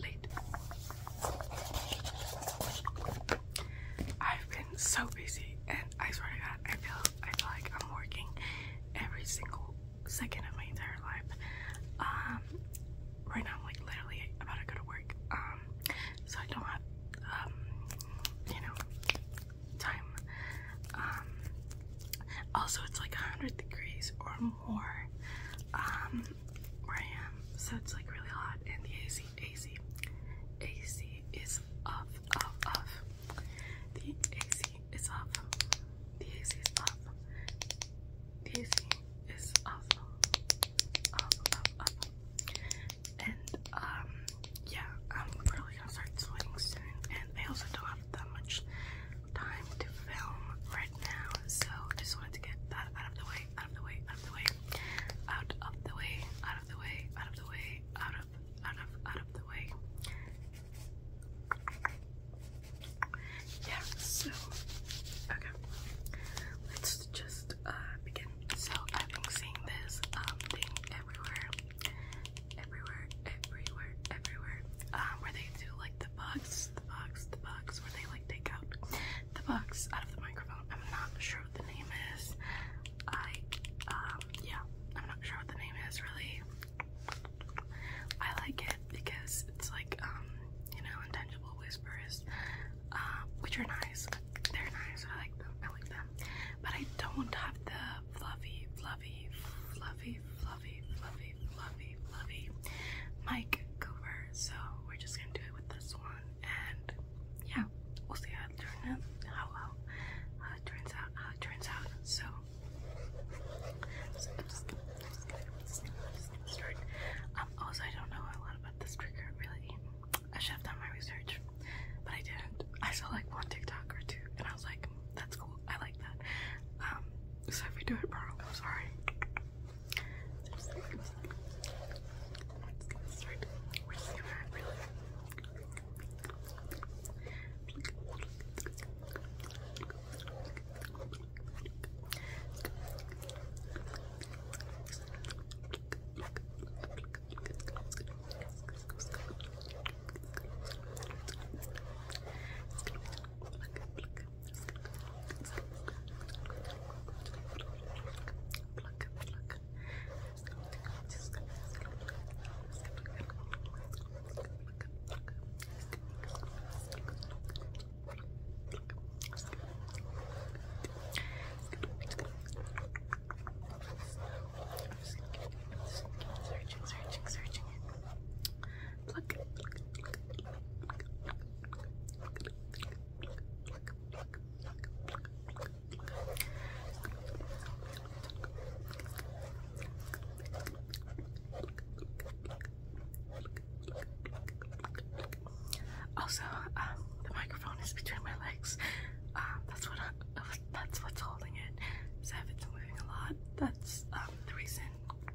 late. I've been so busy, and I swear to God, I feel I feel like I'm working every single second of my entire life. Um, right now I'm like literally about to go to work. Um, so I don't have um, you know, time. Um, also it's like 100 degrees or more more um, so it's like really hot, and the AC, AC, AC is off, off, off. The AC is off. The AC is off. The AC is off, off, off, off. And um, yeah, I'm probably gonna start sweating soon, and I also don't have that much time to film different now, so just wanted to get that out of the way, out of the way, out of the way, out of the way, out of the way, out of the way, out of, out of, out of the way. Yeah, so okay. Let's just uh begin. So I've been seeing this um thing everywhere. Everywhere, everywhere, everywhere. Um where they do like the box, the box, the box. where they like take out the box out of the microphone. I'm not sure what the name is. I, um, yeah, I'm not sure what the name is really. I like it because it's like, um, you know, intangible whispers, uh, which are nice. They're nice. I like them. I like them. But I don't have the fluffy, fluffy, fluffy, fluffy fluffy, fluffy, fluffy, fluffy mic cover. So we're just gonna do it with this one, and yeah, we'll see how it turns out. How, it turns out. turns out. So, i um, also, I don't know a lot about this trigger really. I should have done my research, but I didn't. I saw like one TikTok or two, and I was like, that's cool. I like that. Um, so if we do it wrong, I'm sorry. Pluck, pluck. Just pluck, Searching, searching, searching it pluck, pluck, Also, um, the microphone is between my legs. Um, that's what that's what's holding it. So I've moving a lot. That's um, the reason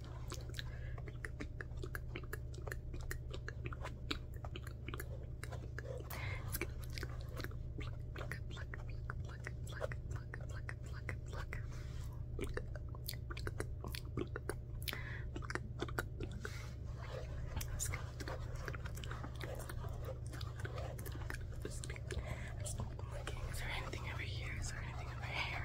Is there anything over here? Is there anything in my hair?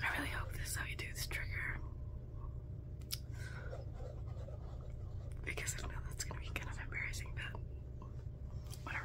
I really hope this how you do this trigger. Because I know that's gonna be kind of embarrassing, but whatever,